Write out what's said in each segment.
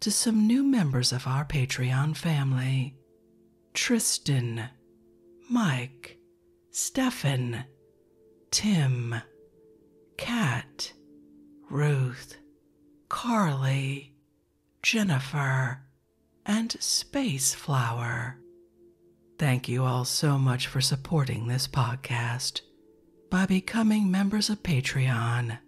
to some new members of our Patreon family Tristan, Mike, Stefan, Tim, Kat, Ruth, Carly, Jennifer, and Space Flower. Thank you all so much for supporting this podcast by becoming members of Patreon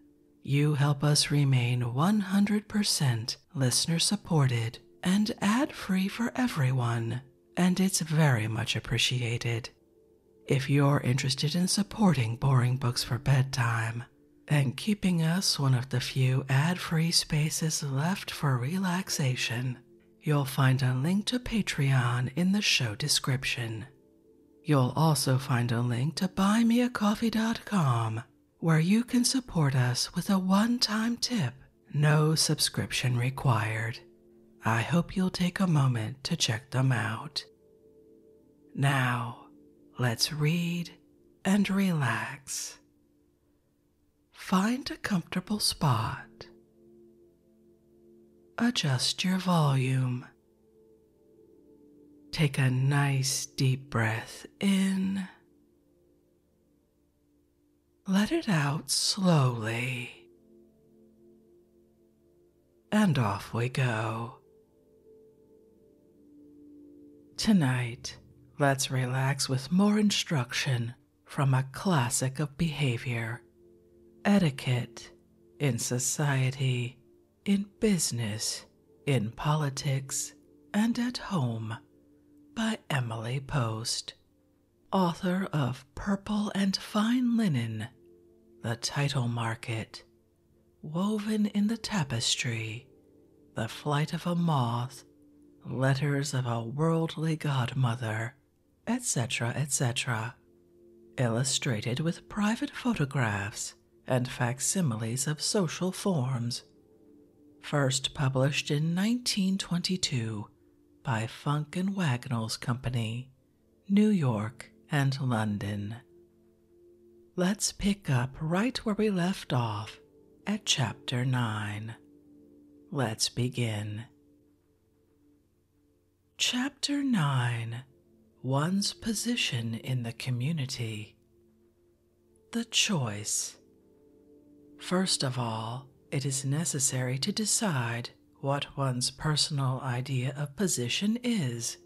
you help us remain 100% listener supported and ad free for everyone, and it's very much appreciated. If you're interested in supporting Boring Books for Bedtime and keeping us one of the few ad free spaces left for relaxation, you'll find a link to Patreon in the show description. You'll also find a link to buymeacoffee.com where you can support us with a one time tip, no subscription required. I hope you'll take a moment to check them out. Now, let's read and relax. Find a comfortable spot. Adjust your volume Take a nice deep breath in. Let it out slowly. And off we go. Tonight, let's relax with more instruction from a classic of behavior, etiquette in society, in business, in politics, and at home by Emily Post, author of Purple and Fine Linen, The Title Market, Woven in the Tapestry, The Flight of a Moth, Letters of a Worldly Godmother, etc., etc. Illustrated with private photographs and facsimiles of social forms. First published in 1922 by Funk and Wagnalls Company, New York and London. Let's pick up right where we left off at Chapter 9. Let's begin. Chapter 9 One's Position in the Community the choice. First of all, it is necessary to decide what one's personal idea of position is,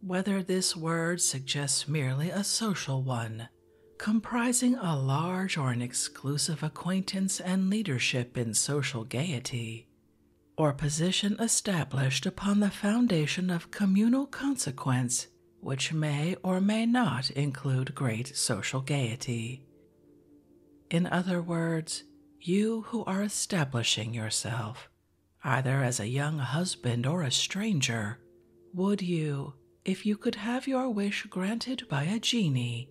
whether this word suggests merely a social one, comprising a large or an exclusive acquaintance and leadership in social gaiety, or position established upon the foundation of communal consequence which may or may not include great social gaiety. In other words, you who are establishing yourself, either as a young husband or a stranger, would you, if you could have your wish granted by a genie,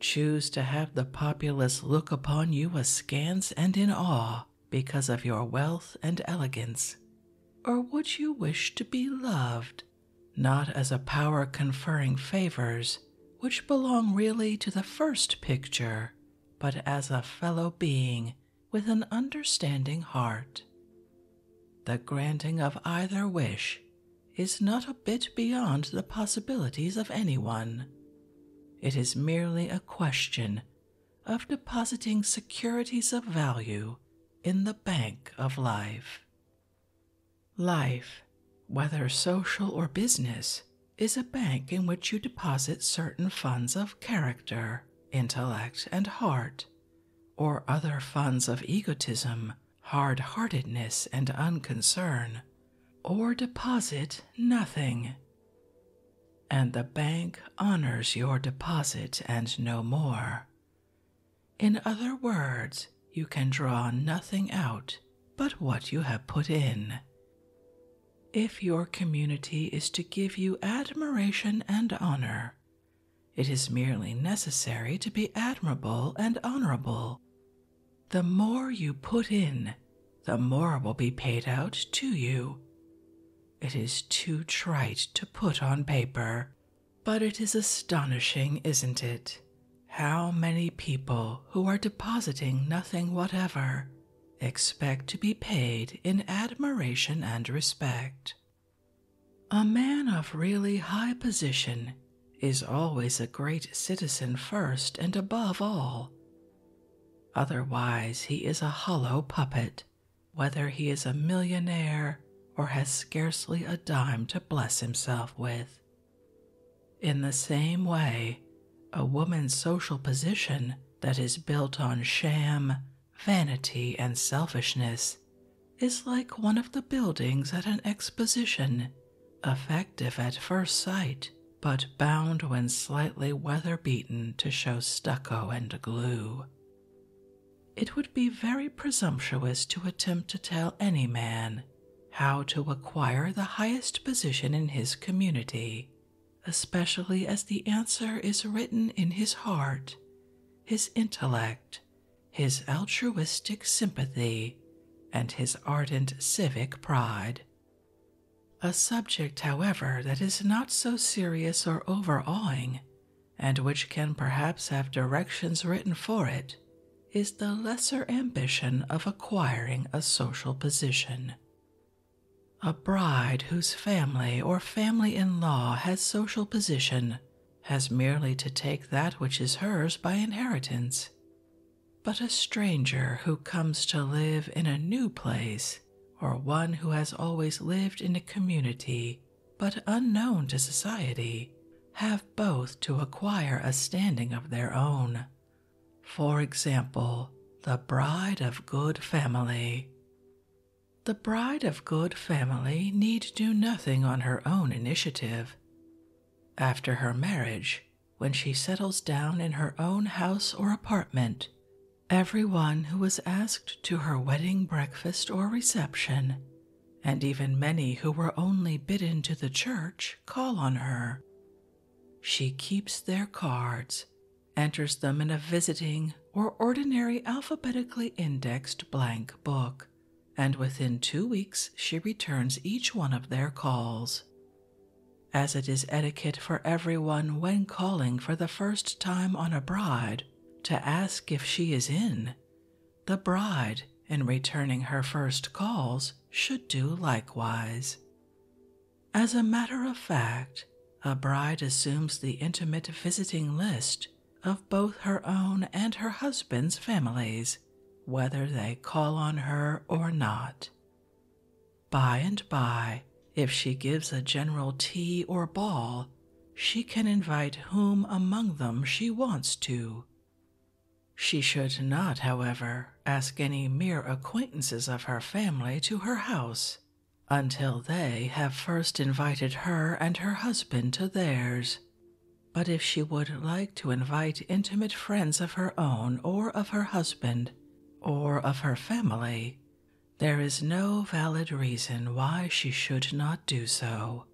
choose to have the populace look upon you askance and in awe? because of your wealth and elegance? Or would you wish to be loved, not as a power conferring favors, which belong really to the first picture, but as a fellow being with an understanding heart? The granting of either wish is not a bit beyond the possibilities of anyone. It is merely a question of depositing securities of value in the bank of life. Life, whether social or business, is a bank in which you deposit certain funds of character, intellect, and heart, or other funds of egotism, hard heartedness, and unconcern, or deposit nothing and the bank honors your deposit and no more. In other words, you can draw nothing out but what you have put in. If your community is to give you admiration and honor, it is merely necessary to be admirable and honorable. The more you put in, the more will be paid out to you. It is too trite to put on paper, but it is astonishing, isn't it? How many people who are depositing nothing whatever expect to be paid in admiration and respect. A man of really high position is always a great citizen first and above all. Otherwise, he is a hollow puppet whether he is a millionaire or has scarcely a dime to bless himself with. In the same way, a woman's social position that is built on sham, vanity, and selfishness is like one of the buildings at an exposition, effective at first sight, but bound when slightly weather beaten to show stucco and glue. It would be very presumptuous to attempt to tell any man how to acquire the highest position in his community, especially as the answer is written in his heart, his intellect, his altruistic sympathy, and his ardent civic pride. A subject, however, that is not so serious or overawing, and which can perhaps have directions written for it, is the lesser ambition of acquiring a social position. A bride whose family or family in law has social position has merely to take that which is hers by inheritance. But a stranger who comes to live in a new place or one who has always lived in a community but unknown to society, have both to acquire a standing of their own. For example, the bride of good family. The bride of good family need do nothing on her own initiative. After her marriage, when she settles down in her own house or apartment, Everyone who was asked to her wedding breakfast or reception, and even many who were only bidden to the church, call on her. She keeps their cards, enters them in a visiting or ordinary alphabetically indexed blank book, and within two weeks she returns each one of their calls. As it is etiquette for everyone when calling for the first time on a bride to ask if she is in, the bride, in returning her first calls, should do likewise. As a matter of fact, a bride assumes the intimate visiting list of both her own and her husband's families, whether they call on her or not. By and by, if she gives a general tea or ball, she can invite whom among them she wants to. She should not, however, ask any mere acquaintances of her family to her house until they have first invited her and her husband to theirs. But if she would like to invite intimate friends of her own or of her husband or of her family, there is no valid reason why she should not do so.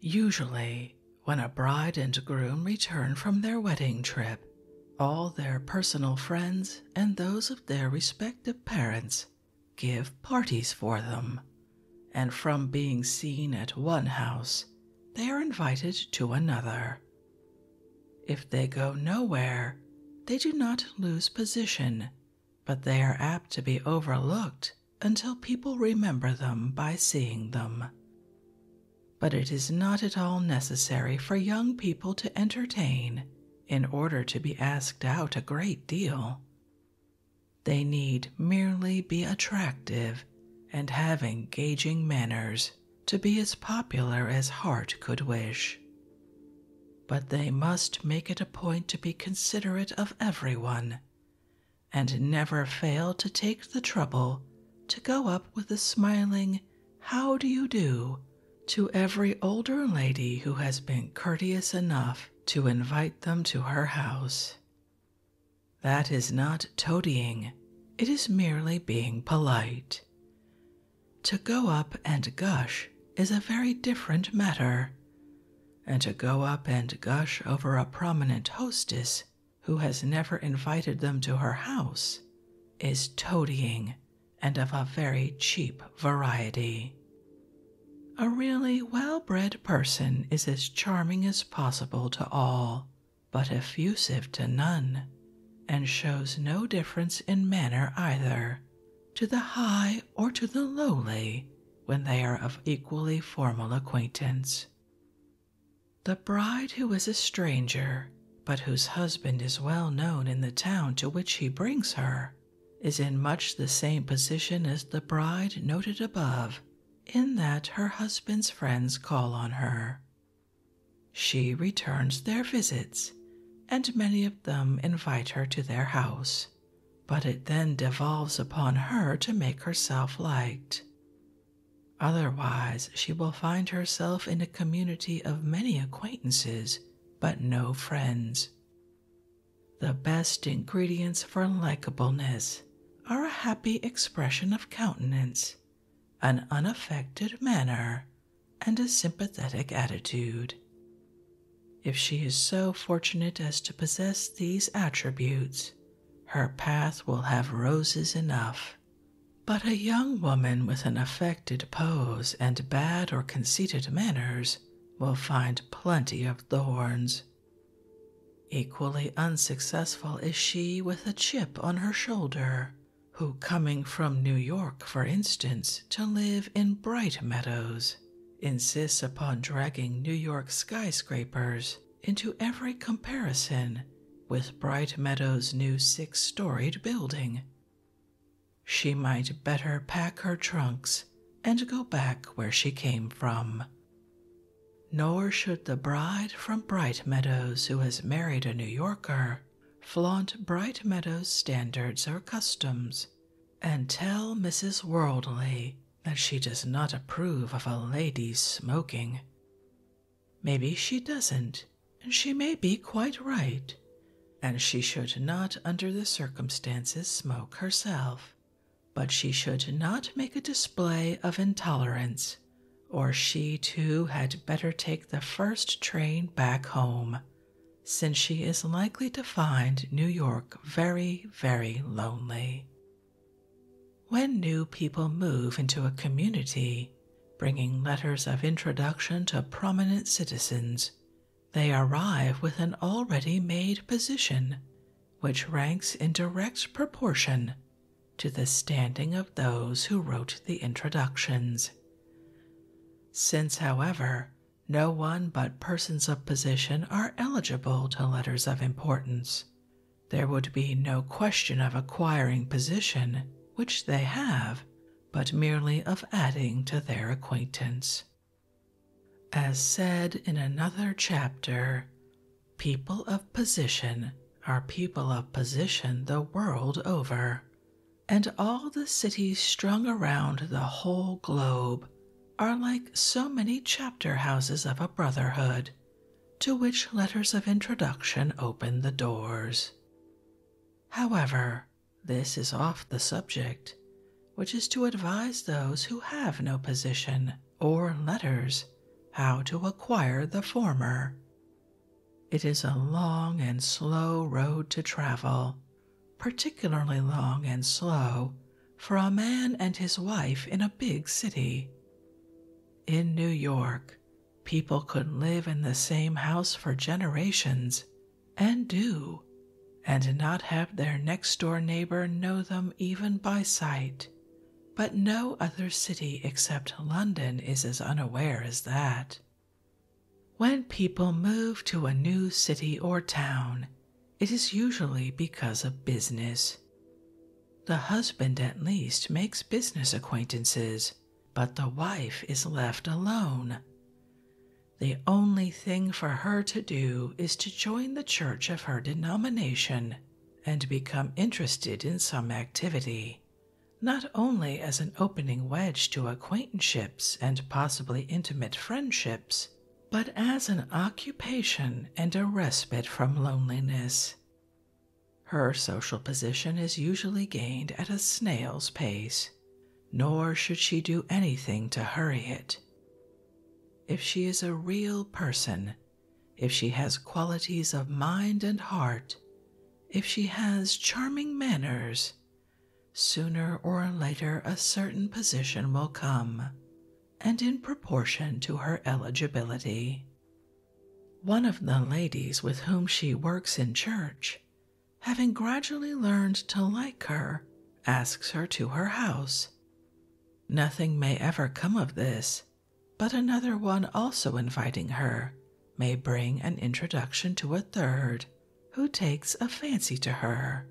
Usually, when a bride and groom return from their wedding trip, all their personal friends and those of their respective parents give parties for them, and from being seen at one house, they are invited to another. If they go nowhere, they do not lose position, but they are apt to be overlooked until people remember them by seeing them. But it is not at all necessary for young people to entertain in order to be asked out a great deal. They need merely be attractive and have engaging manners to be as popular as heart could wish but they must make it a point to be considerate of everyone and never fail to take the trouble to go up with a smiling how do you do to every older lady who has been courteous enough to invite them to her house. That is not toadying, it is merely being polite. To go up and gush is a very different matter, and to go up and gush over a prominent hostess who has never invited them to her house is toadying and of a very cheap variety. A really well bred person is as charming as possible to all, but effusive to none, and shows no difference in manner either to the high or to the lowly when they are of equally formal acquaintance. The bride who is a stranger, but whose husband is well known in the town to which he brings her, is in much the same position as the bride noted above, in that her husband's friends call on her. She returns their visits and many of them invite her to their house, but it then devolves upon her to make herself liked. Otherwise, she will find herself in a community of many acquaintances, but no friends. The best ingredients for likableness are a happy expression of countenance, an unaffected manner, and a sympathetic attitude. If she is so fortunate as to possess these attributes, her path will have roses enough. But a young woman with an affected pose and bad or conceited manners will find plenty of thorns. Equally unsuccessful is she with a chip on her shoulder who, coming from New York, for instance, to live in bright meadows, insists upon dragging New York skyscrapers into every comparison with Bright Meadows' new six storied building. She might better pack her trunks and go back where she came from. Nor should the bride from Bright Meadows who has married a New Yorker flaunt Bright Meadows standards or customs, and tell Mrs. Worldly that she does not approve of a lady's smoking. Maybe she doesn't, and she may be quite right, and she should not, under the circumstances, smoke herself. But she should not make a display of intolerance, or she too had better take the first train back home since she is likely to find New York very, very lonely. When new people move into a community, bringing letters of introduction to prominent citizens, they arrive with an already made position which ranks in direct proportion to the standing of those who wrote the introductions. Since, however, no one but persons of position are eligible to letters of importance, there would be no question of acquiring position, which they have, but merely of adding to their acquaintance. As said in another chapter, people of position are people of position the world over, and all the cities strung around the whole globe are like so many chapter houses of a brotherhood, to which letters of introduction open the doors. However, this is off the subject, which is to advise those who have no position or letters how to acquire the former. It is a long and slow road to travel, particularly long and slow for a man and his wife in a big city. In New York, people could live in the same house for generations and do, and not have their next door neighbor know them even by sight. But no other city except London is as unaware as that. When people move to a new city or town, it is usually because of business. The husband at least makes business acquaintances, but the wife is left alone. The only thing for her to do is to join the church of her denomination and become interested in some activity, not only as an opening wedge to acquaintanceships and possibly intimate friendships, but as an occupation and a respite from loneliness. Her social position is usually gained at a snail's pace, nor should she do anything to hurry it. If she is a real person, if she has qualities of mind and heart, if she has charming manners, Sooner or later, a certain position will come, and in proportion to her eligibility. One of the ladies with whom she works in church, having gradually learned to like her, asks her to her house. Nothing may ever come of this, but another one also inviting her may bring an introduction to a third, who takes a fancy to her.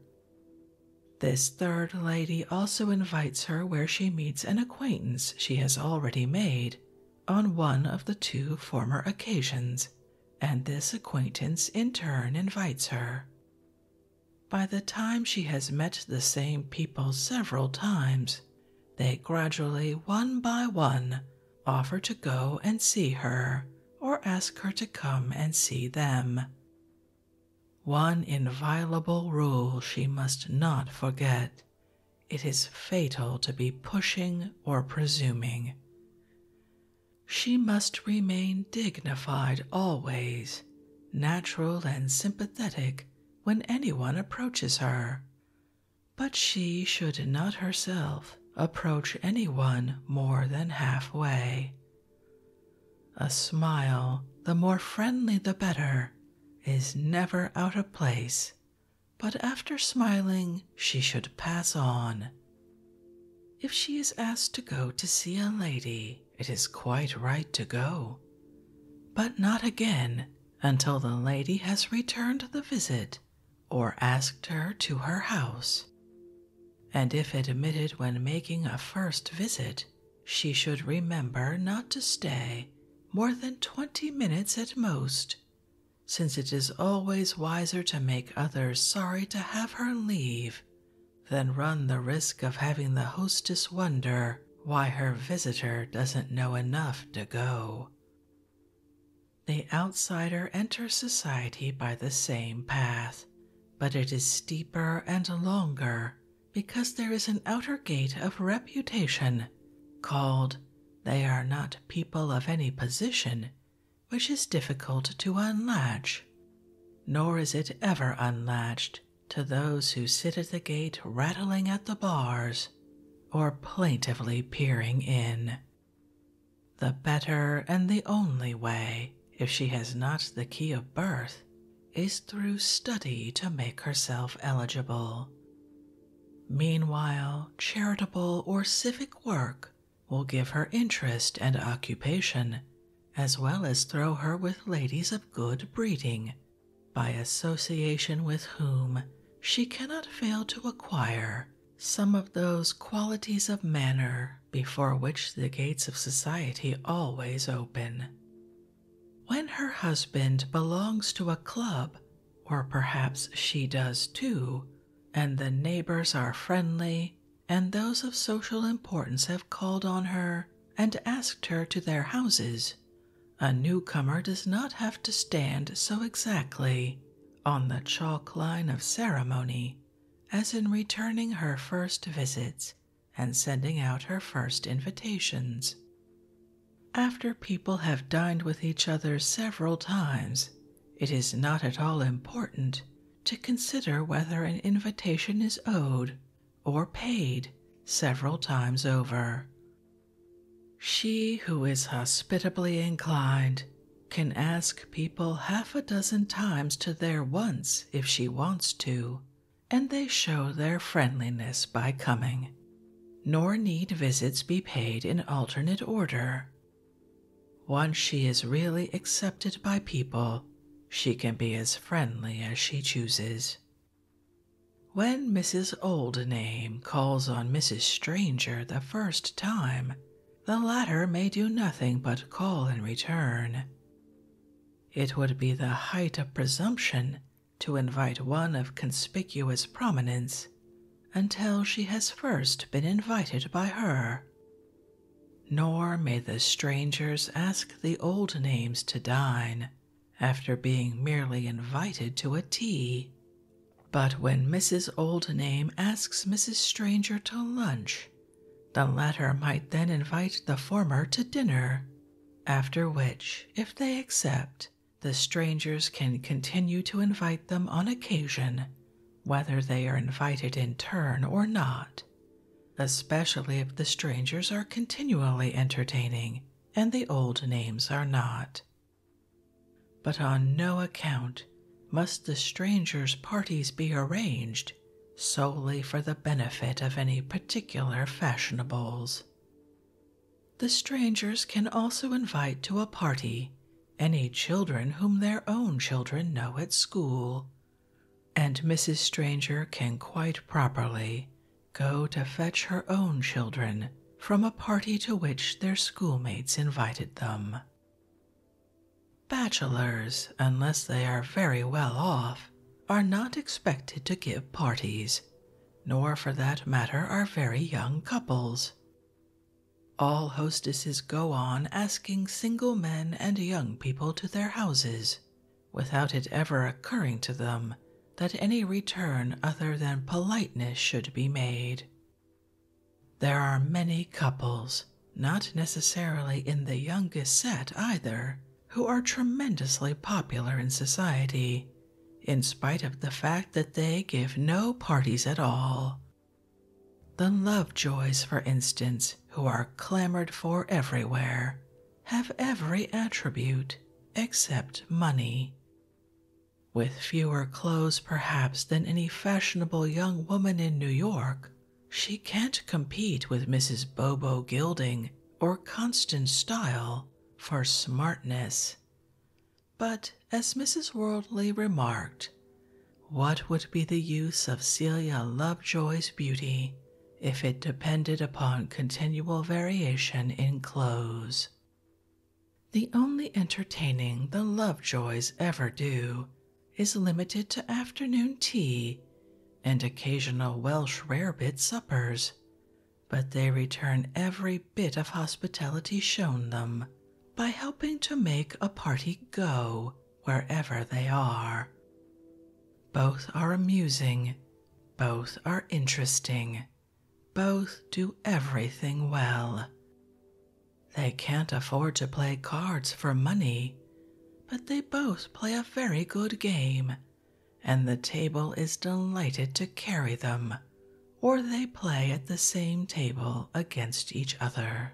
This third lady also invites her where she meets an acquaintance she has already made on one of the two former occasions, and this acquaintance in turn invites her. By the time she has met the same people several times, they gradually, one by one, offer to go and see her or ask her to come and see them. One inviolable rule she must not forget it is fatal to be pushing or presuming. She must remain dignified always, natural and sympathetic when anyone approaches her. But she should not herself approach anyone more than halfway. A smile, the more friendly the better, is never out of place, but after smiling, she should pass on. If she is asked to go to see a lady, it is quite right to go, but not again until the lady has returned the visit or asked her to her house, and if admitted when making a first visit, she should remember not to stay more than twenty minutes at most, since it is always wiser to make others sorry to have her leave than run the risk of having the hostess wonder why her visitor doesn't know enough to go. The outsider enters society by the same path, but it is steeper and longer because there is an outer gate of reputation called They Are Not People of Any Position, which is difficult to unlatch, nor is it ever unlatched to those who sit at the gate rattling at the bars or plaintively peering in. The better and the only way, if she has not the key of birth, is through study to make herself eligible. Meanwhile, charitable or civic work will give her interest and occupation, as well as throw her with ladies of good breeding, by association with whom she cannot fail to acquire some of those qualities of manner before which the gates of society always open. When her husband belongs to a club, or perhaps she does too, and the neighbors are friendly, and those of social importance have called on her and asked her to their houses, a newcomer does not have to stand so exactly on the chalk line of ceremony, as in returning her first visits and sending out her first invitations. After people have dined with each other several times, it is not at all important to consider whether an invitation is owed or paid several times over. She who is hospitably inclined can ask people half a dozen times to their once if she wants to, and they show their friendliness by coming. Nor need visits be paid in alternate order. Once she is really accepted by people, she can be as friendly as she chooses. When Mrs. Oldname calls on Mrs. Stranger the first time, the latter may do nothing but call in return. It would be the height of presumption to invite one of conspicuous prominence until she has first been invited by her. Nor may the strangers ask the old names to dine after being merely invited to a tea but when Mrs. Old Name asks Mrs. Stranger to lunch, the latter might then invite the former to dinner, after which, if they accept, the strangers can continue to invite them on occasion, whether they are invited in turn or not, especially if the strangers are continually entertaining and the old names are not. But on no account must the stranger's parties be arranged solely for the benefit of any particular fashionables. The strangers can also invite to a party any children whom their own children know at school, and Mrs. Stranger can quite properly go to fetch her own children from a party to which their schoolmates invited them. Bachelors, unless they are very well off, are not expected to give parties, nor for that matter are very young couples. All hostesses go on asking single men and young people to their houses, without it ever occurring to them that any return other than politeness should be made. There are many couples, not necessarily in the youngest set either, who are tremendously popular in society, in spite of the fact that they give no parties at all. The Lovejoys, for instance, who are clamored for everywhere, have every attribute except money. With fewer clothes, perhaps, than any fashionable young woman in New York, she can't compete with Mrs. Bobo Gilding or Constance Stile for smartness. But as Mrs. Worldly remarked, what would be the use of Celia Lovejoy's beauty if it depended upon continual variation in clothes the only entertaining the Lovejoys ever do is limited to afternoon tea and occasional Welsh rarebit suppers, but they return every bit of hospitality shown them by helping to make a party go wherever they are. Both are amusing, both are interesting, both do everything well. They can't afford to play cards for money, but they both play a very good game, and the table is delighted to carry them, or they play at the same table against each other.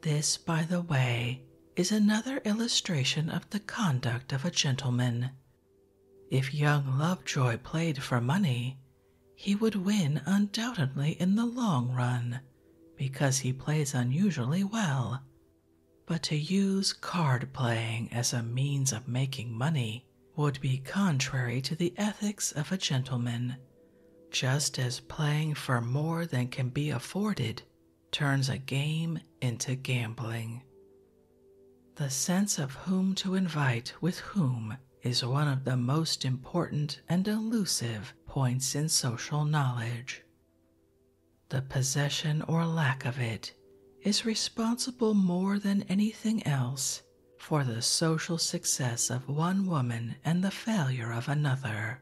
This, by the way, is another illustration of the conduct of a gentleman. If young Lovejoy played for money, he would win undoubtedly in the long run because he plays unusually well. But to use card playing as a means of making money would be contrary to the ethics of a gentleman, just as playing for more than can be afforded turns a game into gambling. The sense of whom to invite with whom is one of the most important and elusive points in social knowledge. The possession or lack of it is responsible more than anything else for the social success of one woman and the failure of another.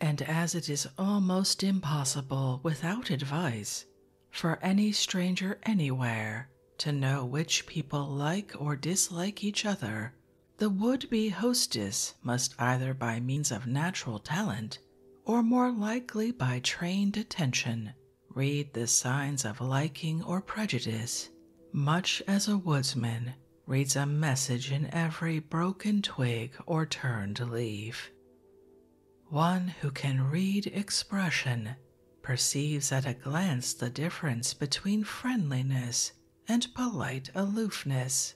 And as it is almost impossible without advice for any stranger anywhere to know which people like or dislike each other. The would be hostess must either by means of natural talent or more likely by trained attention read the signs of liking or prejudice, much as a woodsman reads a message in every broken twig or turned leaf. One who can read expression perceives at a glance the difference between friendliness and polite aloofness.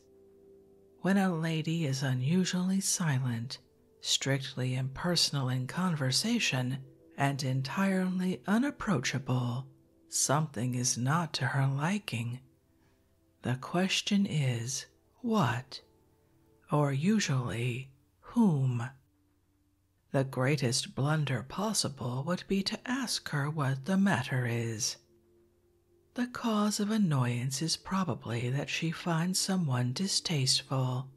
When a lady is unusually silent, strictly impersonal in conversation, and entirely unapproachable, something is not to her liking. The question is, what? Or usually, whom? The greatest blunder possible would be to ask her what the matter is. The cause of annoyance is probably that she finds someone distasteful,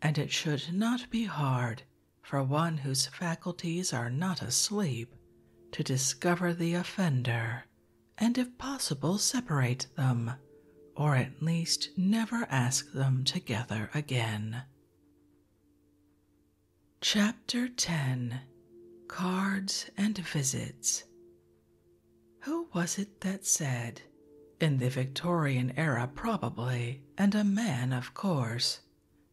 and it should not be hard for one whose faculties are not asleep to discover the offender and, if possible, separate them, or at least never ask them together again. Chapter 10 Cards and Visits Who was it that said, in the Victorian era probably, and a man of course,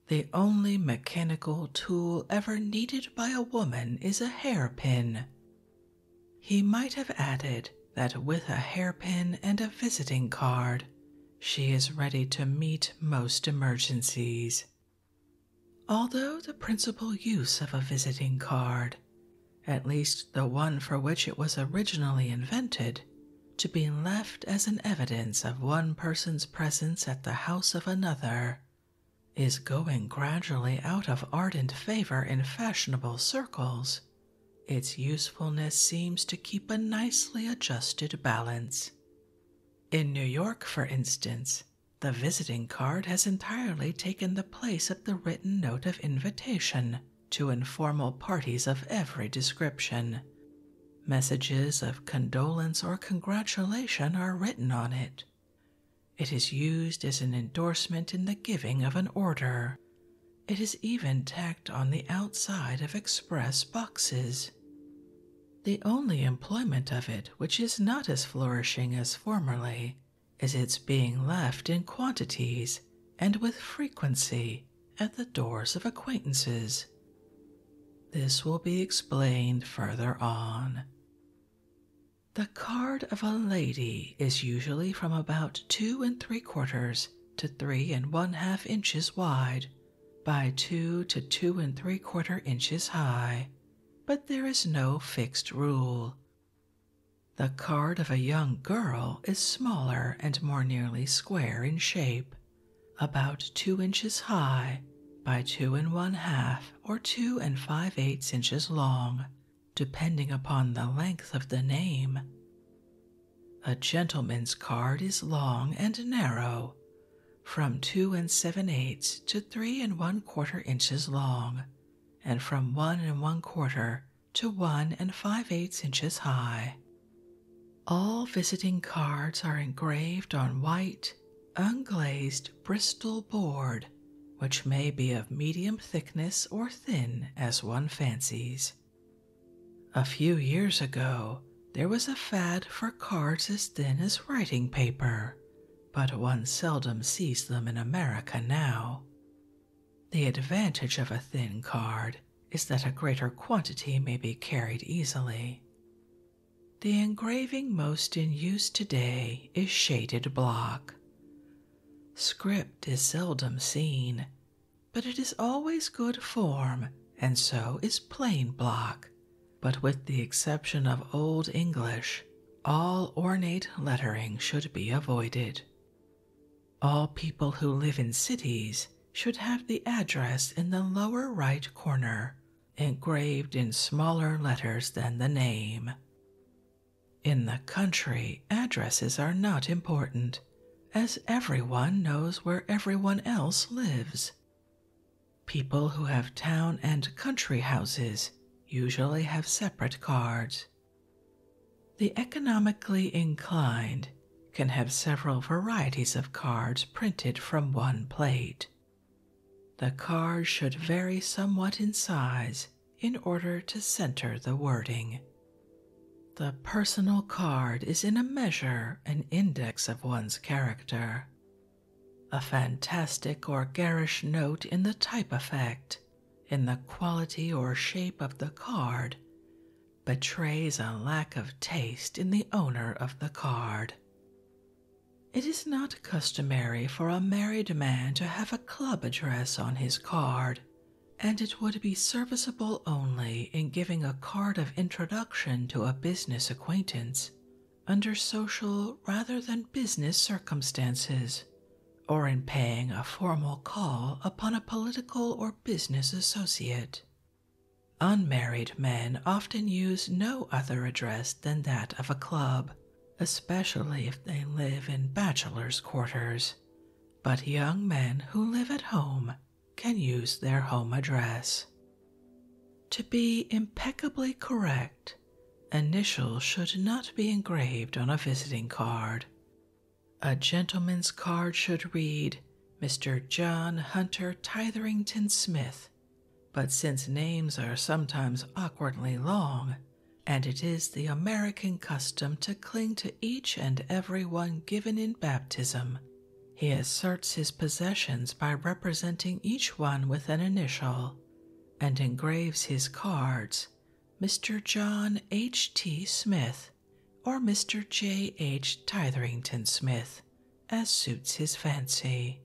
the only mechanical tool ever needed by a woman is a hairpin? He might have added that with a hairpin and a visiting card, she is ready to meet most emergencies. Although the principal use of a visiting card, at least the one for which it was originally invented, to be left as an evidence of one person's presence at the house of another, is going gradually out of ardent favor in fashionable circles, its usefulness seems to keep a nicely adjusted balance. In New York, for instance, the visiting card has entirely taken the place of the written note of invitation to informal parties of every description. Messages of condolence or congratulation are written on it. It is used as an endorsement in the giving of an order. It is even tacked on the outside of express boxes. The only employment of it which is not as flourishing as formerly is its being left in quantities and with frequency at the doors of acquaintances. This will be explained further on. The card of a lady is usually from about two and three quarters to three and one half inches wide by two to two and three quarter inches high, but there is no fixed rule. The card of a young girl is smaller and more nearly square in shape, about two inches high by two and one half or two and five eighths inches long, depending upon the length of the name. A gentleman's card is long and narrow, from two and seven eighths to three and one quarter inches long, and from one and one quarter to one and five eighths inches high. All visiting cards are engraved on white, unglazed Bristol board, which may be of medium thickness or thin as one fancies. A few years ago, there was a fad for cards as thin as writing paper, but one seldom sees them in America now. The advantage of a thin card is that a greater quantity may be carried easily. The engraving most in use today is shaded block. Script is seldom seen, but it is always good form, and so is plain block. But with the exception of Old English, all ornate lettering should be avoided. All people who live in cities should have the address in the lower right corner, engraved in smaller letters than the name. In the country, addresses are not important, as everyone knows where everyone else lives People who have town and country houses usually have separate cards. The economically inclined can have several varieties of cards printed from one plate. The card should vary somewhat in size in order to center the wording. The personal card is in a measure an index of one's character, a fantastic or garish note in the type effect, in the quality or shape of the card, betrays a lack of taste in the owner of the card. It is not customary for a married man to have a club address on his card, and it would be serviceable only in giving a card of introduction to a business acquaintance under social rather than business circumstances, or in paying a formal call upon a political or business associate. Unmarried men often use no other address than that of a club, especially if they live in bachelor's quarters. But young men who live at home can use their home address. To be impeccably correct, initials should not be engraved on a visiting card. A gentleman's card should read Mr. John Hunter Titherington Smith, but since names are sometimes awkwardly long, and it is the American custom to cling to each and every one given in baptism he asserts his possessions by representing each one with an initial and engraves his cards Mr. John H. T. Smith or Mr. J. H. Titherington Smith as suits his fancy.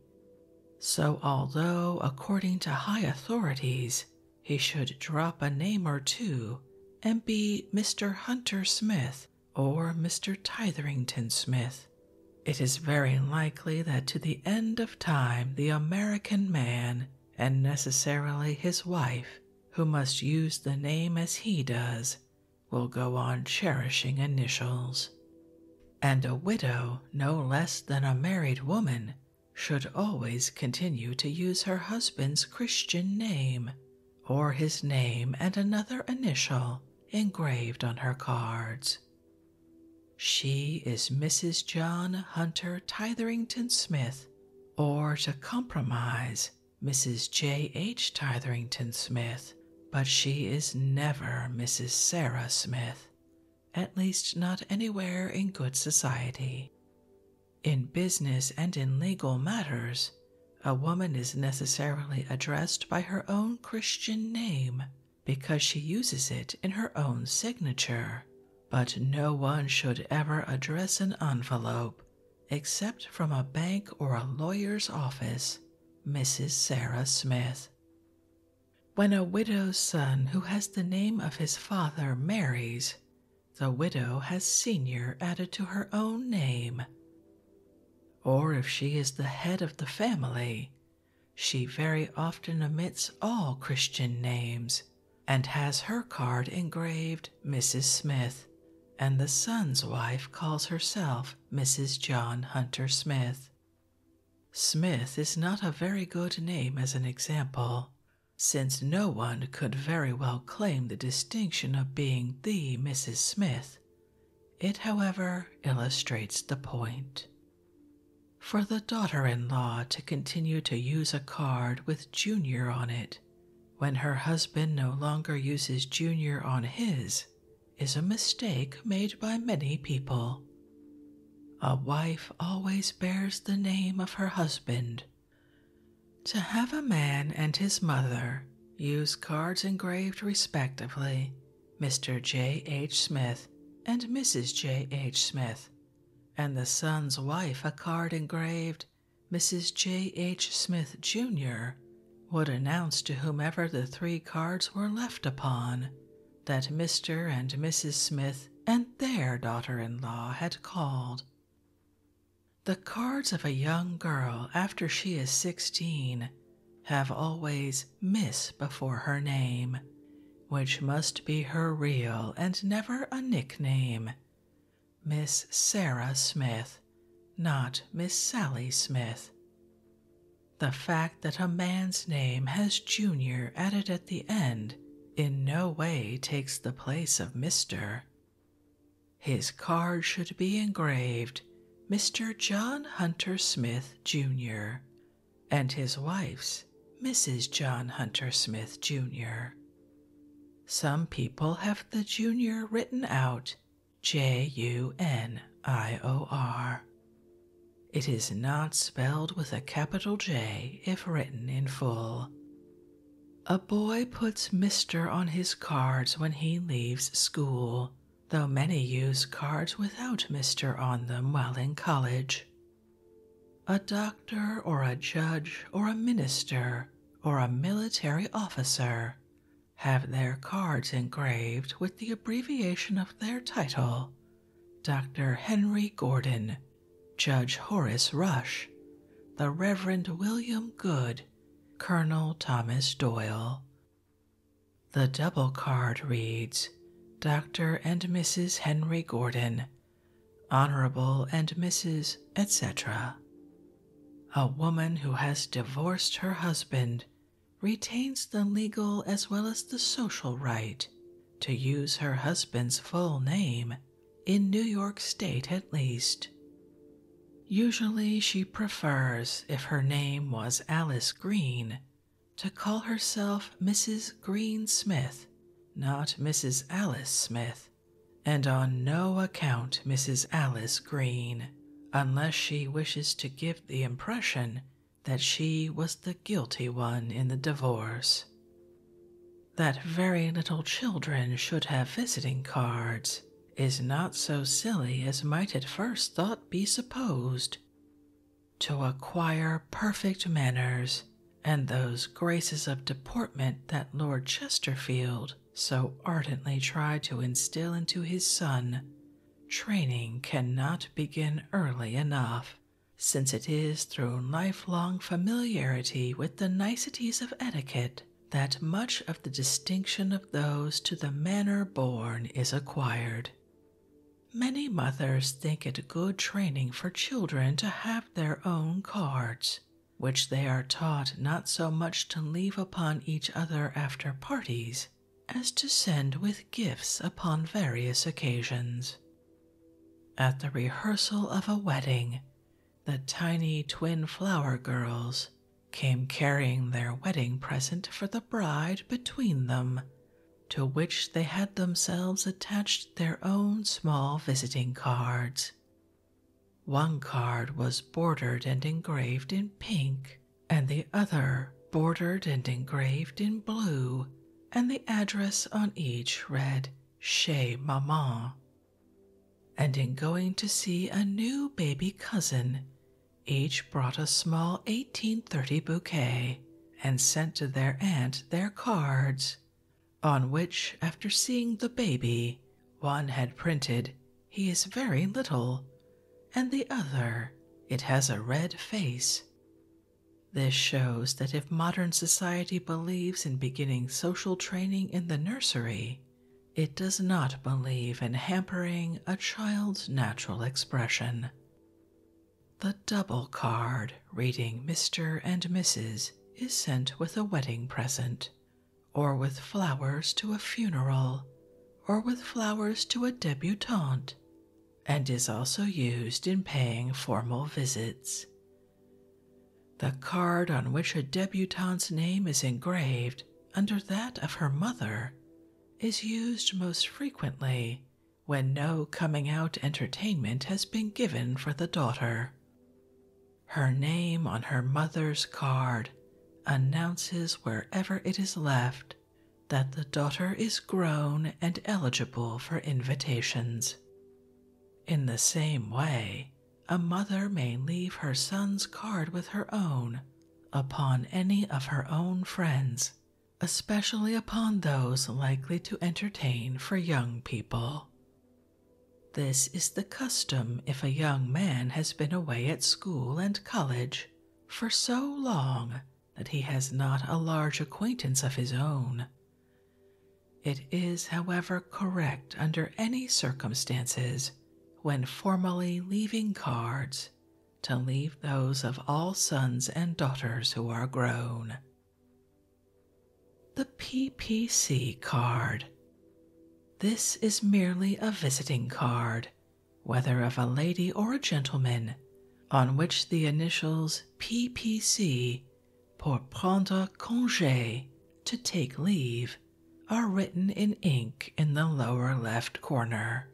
So, although, according to high authorities, he should drop a name or two and be Mr. Hunter Smith or Mr. Titherington Smith, it is very likely that to the end of time the American man, and necessarily his wife, who must use the name as he does, will go on cherishing initials. And a widow, no less than a married woman, should always continue to use her husband's Christian name or his name and another initial engraved on her cards. She is Mrs. John Hunter Titherington Smith, or to compromise, Mrs. J. H. Titherington Smith, but she is never Mrs. Sarah Smith, at least not anywhere in good society. In business and in legal matters, a woman is necessarily addressed by her own Christian name because she uses it in her own signature, but no one should ever address an envelope except from a bank or a lawyer's office. Mrs. Sarah Smith. When a widow's son who has the name of his father marries, the widow has senior added to her own name or if she is the head of the family, she very often omits all Christian names and has her card engraved Mrs. Smith, and the son's wife calls herself Mrs. John Hunter Smith. Smith is not a very good name as an example, since no one could very well claim the distinction of being the Mrs. Smith it, however, illustrates the point. For the daughter in law to continue to use a card with Junior on it when her husband no longer uses Junior on his is a mistake made by many people. A wife always bears the name of her husband. To have a man and his mother Use cards engraved respectively Mr. J. H. Smith and Mrs. J. H. Smith, and the son's wife a card engraved Mrs. J. H. Smith, Jr., would announce to whomever the three cards were left upon that Mr. and Mrs. Smith and their daughter in law had called. The cards of a young girl after she is 16 have always Miss before her name, which must be her real and never a nickname. Miss Sarah Smith, not Miss Sally Smith. The fact that a man's name has junior added at the end in no way takes the place of Mr. His card should be engraved Mr. John Hunter Smith, Jr., and his wife's Mrs. John Hunter Smith, Jr. Some people have the junior written out J U N I O R. It is not spelled with a capital J if written in full. A boy puts Mr. on his cards when he leaves school, though many use cards without Mr. on them while in college. A doctor or a judge or a minister or a military officer have their cards engraved with the abbreviation of their title Dr. Henry Gordon, Judge Horace Rush, the Reverend William Good, Colonel Thomas Doyle. The double card reads Dr. and Mrs. Henry Gordon, Honorable and Mrs., etc. A woman who has divorced her husband retains the legal as well as the social right to use her husband's full name, in New York State at least. Usually, she prefers, if her name was Alice Green, to call herself Mrs. Green Smith, not Mrs. Alice Smith, and on no account Mrs. Alice Green, unless she wishes to give the impression that she was the guilty one in the divorce. That very little children should have visiting cards is not so silly as might at first thought be supposed. To acquire perfect manners and those graces of deportment that Lord Chesterfield so ardently tried to instill into his son, training cannot begin early enough, since it is through lifelong familiarity with the niceties of etiquette that much of the distinction of those to the manner born is acquired. Many mothers think it good training for children to have their own cards, which they are taught not so much to leave upon each other after parties as to send with gifts upon various occasions. At the rehearsal of a wedding, the tiny twin flower girls came carrying their wedding present for the bride between them, to which they had themselves attached their own small visiting cards. One card was bordered and engraved in pink, and the other bordered and engraved in blue, and the address on each read Chez Maman and in going to see a new baby cousin, each brought a small 1830 bouquet and sent to their aunt their cards, on which, after seeing the baby, one had printed, He is very little, and the other, It has a red face. This shows that if modern society believes in beginning social training in the nursery, it does not believe in hampering a child's natural expression. The double card reading Mr. and Mrs. is sent with a wedding present, or with flowers to a funeral, or with flowers to a debutante, and is also used in paying formal visits. The card on which a debutante's name is engraved under that of her mother is used most frequently when no coming out entertainment has been given for the daughter. Her name on her mother's card announces wherever it is left that the daughter is grown and eligible for invitations. In the same way, a mother may leave her son's card with her own upon any of her own friends, especially upon those likely to entertain for young people. This is the custom if a young man has been away at school and college for so long that he has not a large acquaintance of his own. It is, however, correct under any circumstances when formally leaving cards to leave those of all sons and daughters who are grown. The PPC card. This is merely a visiting card, whether of a lady or a gentleman, on which the initials PPC, pour prendre congé, to take leave, are written in ink in the lower left corner.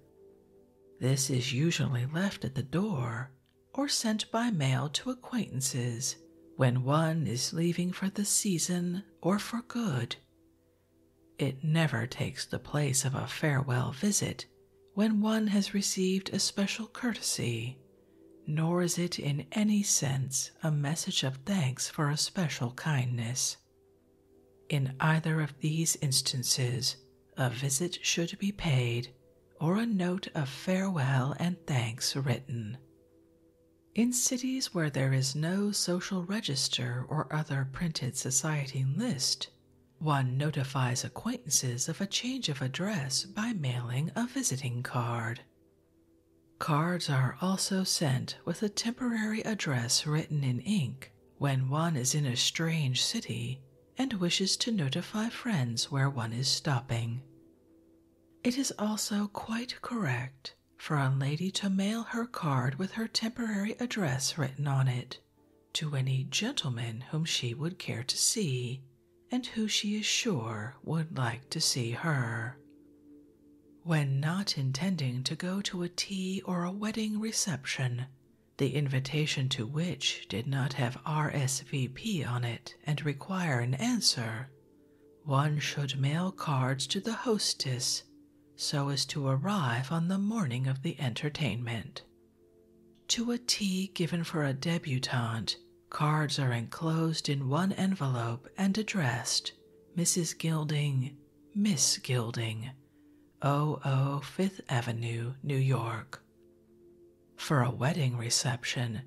This is usually left at the door or sent by mail to acquaintances when one is leaving for the season or for good. It never takes the place of a farewell visit when one has received a special courtesy, nor is it in any sense a message of thanks for a special kindness. In either of these instances, a visit should be paid or a note of farewell and thanks written. In cities where there is no social register or other printed society list, one notifies acquaintances of a change of address by mailing a visiting card. Cards are also sent with a temporary address written in ink when one is in a strange city and wishes to notify friends where one is stopping. It is also quite correct for a lady to mail her card with her temporary address written on it to any gentleman whom she would care to see and who she is sure would like to see her. When not intending to go to a tea or a wedding reception, the invitation to which did not have RSVP on it and require an answer, one should mail cards to the hostess so as to arrive on the morning of the entertainment. To a tea given for a debutante, cards are enclosed in one envelope and addressed Mrs. Gilding, Miss Gilding, 00 Fifth Avenue, New York. For a wedding reception,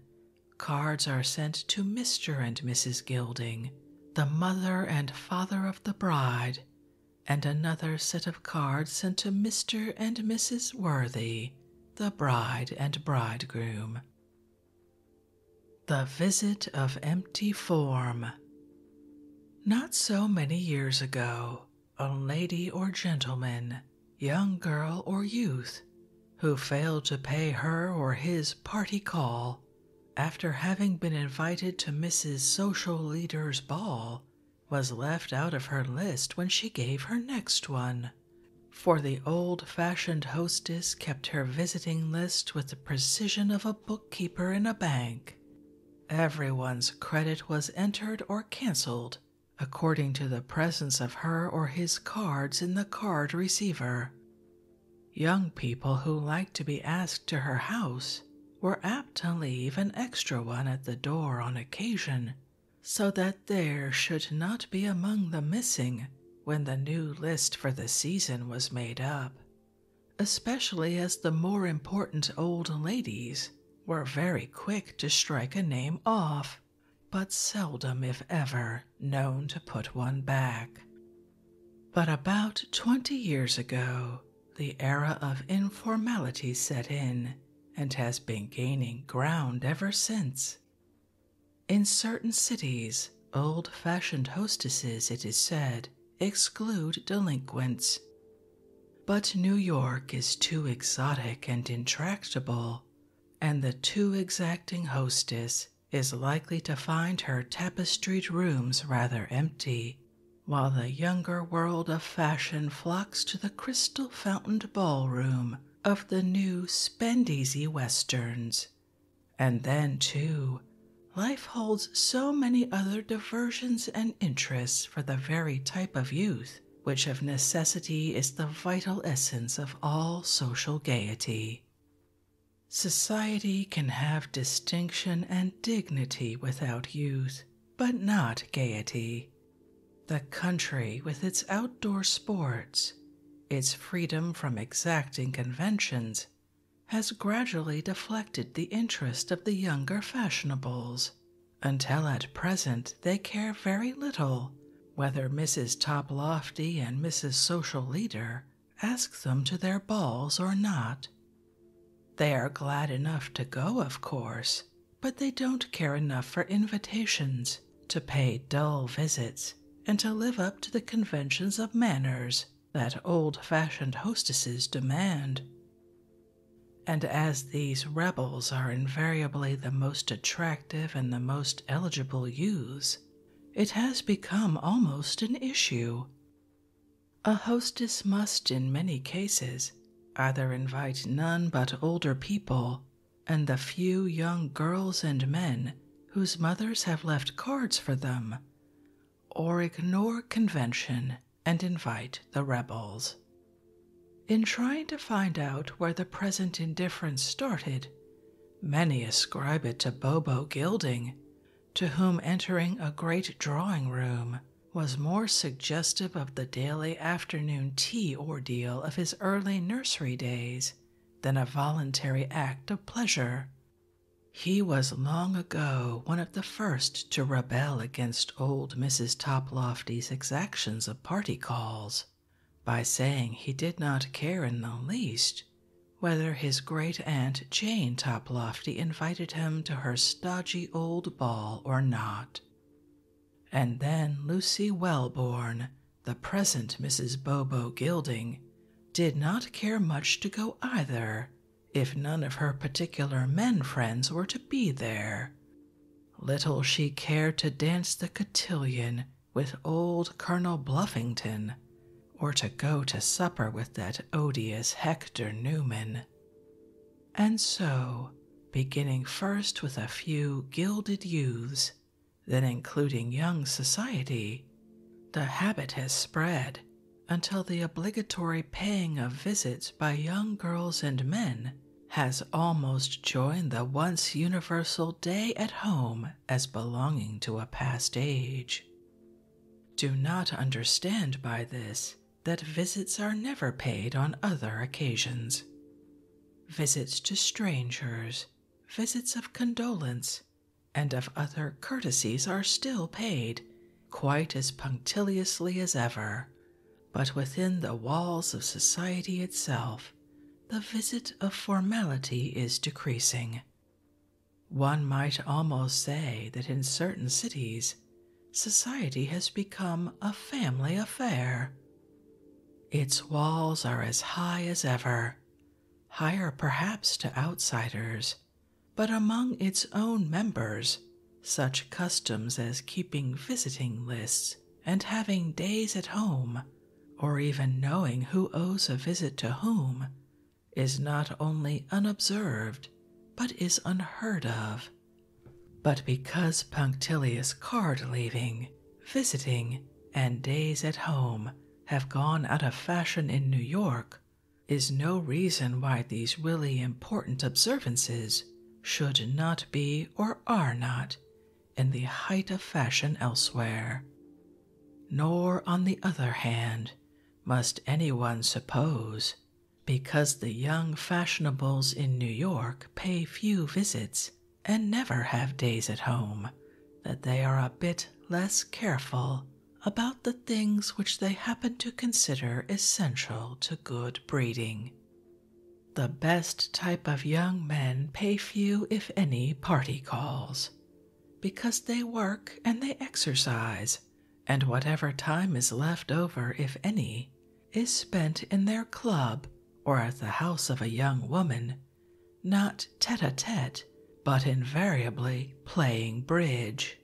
cards are sent to Mr. and Mrs. Gilding, the mother and father of the bride, and another set of cards sent to Mr. and Mrs. Worthy, the bride and bridegroom. The Visit of Empty Form. Not so many years ago, a lady or gentleman, young girl or youth, who failed to pay her or his party call after having been invited to Mrs. Social Leader's ball was left out of her list when she gave her next one. For the old fashioned hostess kept her visiting list with the precision of a bookkeeper in a bank. Everyone's credit was entered or cancelled according to the presence of her or his cards in the card receiver. Young people who liked to be asked to her house were apt to leave an extra one at the door on occasion, so that there should not be among the missing when the new list for the season was made up especially as the more important old ladies were very quick to strike a name off, but seldom, if ever, known to put one back. But about twenty years ago, the era of informality set in and has been gaining ground ever since. In certain cities, Old fashioned hostesses, it is said, exclude delinquents. But New York is too exotic and intractable, and the too exacting hostess is likely to find her tapestried rooms rather empty, while the younger world of fashion flocks to the crystal fountained ballroom of the new spendeasy westerns and then, too, life holds so many other diversions and interests for the very type of youth which of necessity is the vital essence of all social gaiety. Society can have distinction and dignity without youth, but not gaiety. The country, with its outdoor sports, its freedom from exacting conventions, has gradually deflected the interest of the younger fashionables, until at present they care very little whether Mrs. Toplofty and Mrs. Social Leader ask them to their balls or not. They are glad enough to go, of course, but they don't care enough for invitations, to pay dull visits, and to live up to the conventions of manners that old fashioned hostesses demand. And as these rebels are invariably the most attractive and the most eligible youths, it has become almost an issue. A hostess must, in many cases, either invite none but older people and the few young girls and men whose mothers have left cards for them or ignore convention and invite the rebels. In trying to find out where the present indifference started, many ascribe it to Bobo Gilding, to whom entering a great drawing room was more suggestive of the daily afternoon tea ordeal of his early nursery days than a voluntary act of pleasure he was long ago one of the first to rebel against old Mrs. Toplofty's exactions of party calls by saying he did not care in the least whether his great aunt Jane Toplofty invited him to her stodgy old ball or not. And then Lucy Wellborn, the present Mrs. Bobo Gilding, did not care much to go either, if none of her particular men friends were to be there. Little she cared to dance the cotillion with old Colonel Bluffington, or to go to supper with that odious Hector Newman. And so, beginning first with a few gilded youths, then including young society, the habit has spread until the obligatory paying of visits by young girls and men has almost joined the once universal day at home as belonging to a past age. Do not understand by this that visits are never paid on other occasions. Visits to strangers, visits of condolence, and of other courtesies are still paid quite as punctiliously as ever. But within the walls of society itself, the visit of formality is decreasing. One might almost say that in certain cities, society has become a family affair. Its walls are as high as ever, higher perhaps to outsiders, but among its own members, such customs as keeping visiting lists and having days at home, or even knowing who owes a visit to whom, is not only unobserved but is unheard of. But because punctilious card leaving, visiting, and days at home have gone out of fashion in New York is no reason why these really important observances should not be or are not in the height of fashion elsewhere. Nor, on the other hand, must any one suppose, because the young fashionables in New York pay few visits and never have days at home, that they are a bit less careful about the things which they happen to consider essential to good breeding. The best type of young men pay few, if any, party calls because they work and they exercise, and whatever time is left over, if any, is spent in their club or at the house of a young woman not tete a tete, but invariably playing bridge.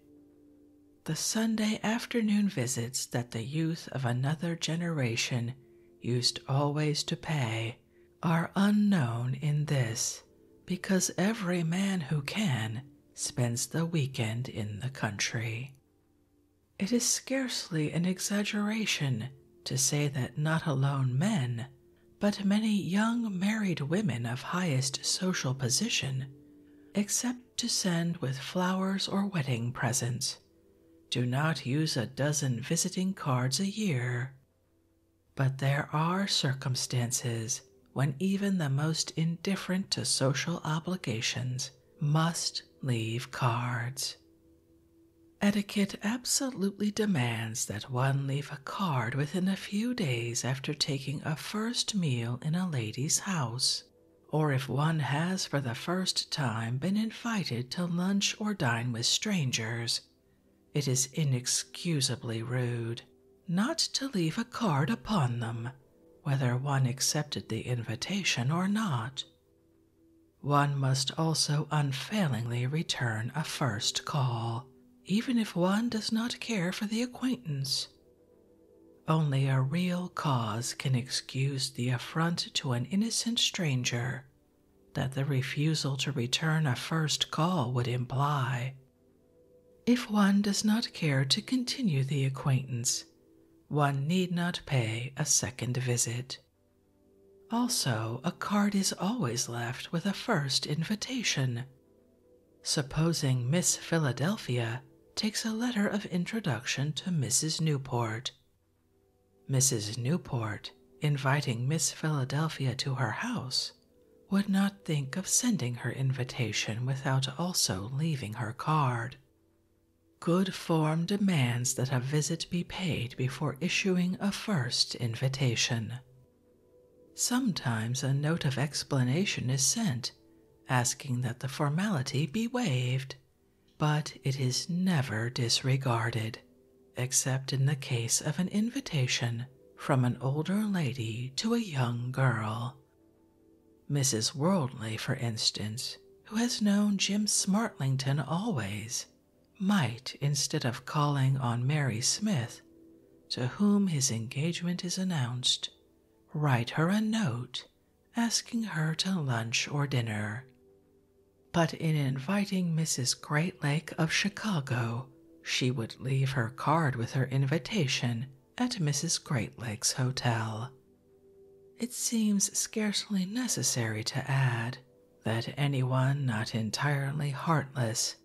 The Sunday afternoon visits that the youth of another generation used always to pay are unknown in this, because every man who can spends the weekend in the country. It is scarcely an exaggeration to say that not alone men, but many young married women of highest social position, except to send with flowers or wedding presents, do not use a dozen visiting cards a year. But there are circumstances when even the most indifferent to social obligations must leave cards. Etiquette absolutely demands that one leave a card within a few days after taking a first meal in a lady's house, or if one has for the first time been invited to lunch or dine with strangers. It is inexcusably rude not to leave a card upon them, whether one accepted the invitation or not. One must also unfailingly return a first call even if one does not care for the acquaintance. Only a real cause can excuse the affront to an innocent stranger that the refusal to return a first call would imply. If one does not care to continue the acquaintance, one need not pay a second visit. Also, a card is always left with a first invitation Supposing Miss Philadelphia takes a letter of introduction to Mrs. Newport. Mrs. Newport, inviting Miss Philadelphia to her house, would not think of sending her invitation without also leaving her card. Good form demands that a visit be paid before issuing a first invitation. Sometimes a note of explanation is sent, asking that the formality be waived, but it is never disregarded, except in the case of an invitation from an older lady to a young girl. Mrs. Worldly, for instance, who has known Jim Smartlington always, might, instead of calling on Mary Smith, to whom his engagement is announced, write her a note asking her to lunch or dinner. But in inviting Mrs. Greatlake of Chicago, she would leave her card with her invitation at Mrs. Greatlake's hotel. It seems scarcely necessary to add that anyone not entirely heartless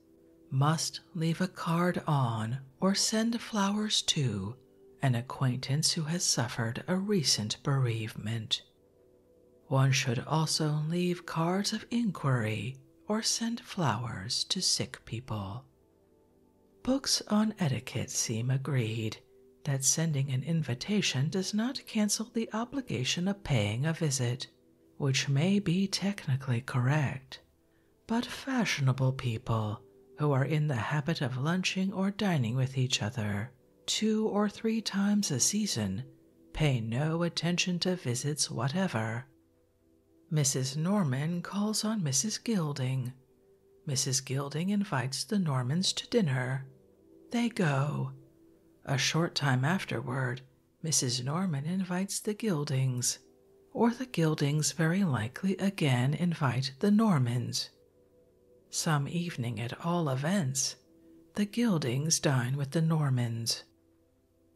must leave a card on or send flowers to an acquaintance who has suffered a recent bereavement. One should also leave cards of inquiry or send flowers to sick people. Books on etiquette seem agreed that sending an invitation does not cancel the obligation of paying a visit which may be technically correct, but fashionable people who are in the habit of lunching or dining with each other two or three times a season pay no attention to visits whatever. Mrs. Norman calls on Mrs. Gilding. Mrs. Gilding invites the Normans to dinner. They go. A short time afterward, Mrs. Norman invites the Gildings, or the Gildings very likely again invite the Normans. Some evening, at all events, the Gildings dine with the Normans.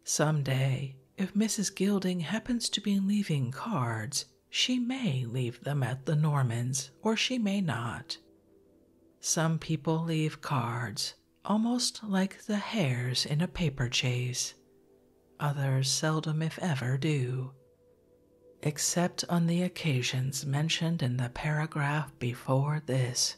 Some day, if Mrs. Gilding happens to be leaving cards, she may leave them at the Normans, or she may not. Some people leave cards, almost like the hares in a paper chase. Others seldom, if ever, do. Except on the occasions mentioned in the paragraph before this,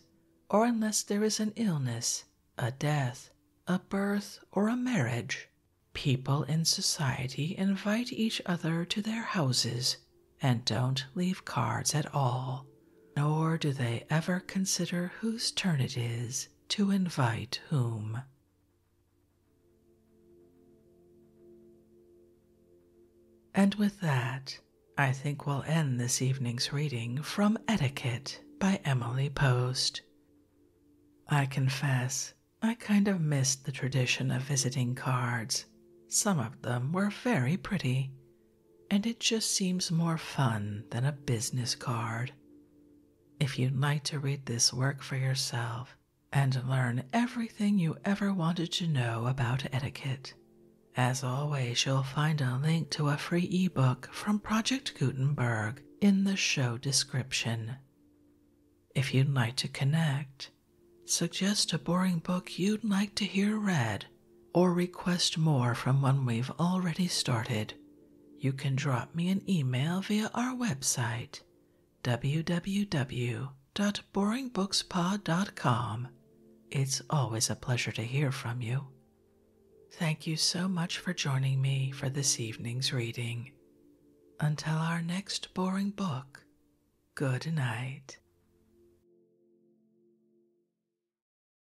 or unless there is an illness, a death, a birth, or a marriage, people in society invite each other to their houses and don't leave cards at all nor do they ever consider whose turn it is to invite whom. And with that, I think we'll end this evening's reading from Etiquette by Emily Post. I confess, I kind of missed the tradition of visiting cards. Some of them were very pretty, and it just seems more fun than a business card. If you'd like to read this work for yourself and learn everything you ever wanted to know about etiquette, as always, you'll find a link to a free ebook from Project Gutenberg in the show description. If you'd like to connect, suggest a boring book you'd like to hear read or request more from one we've already started, you can drop me an email via our website www.boringbookspod.com. It's always a pleasure to hear from you. Thank you so much for joining me for this evening's reading. Until our next boring book, good night.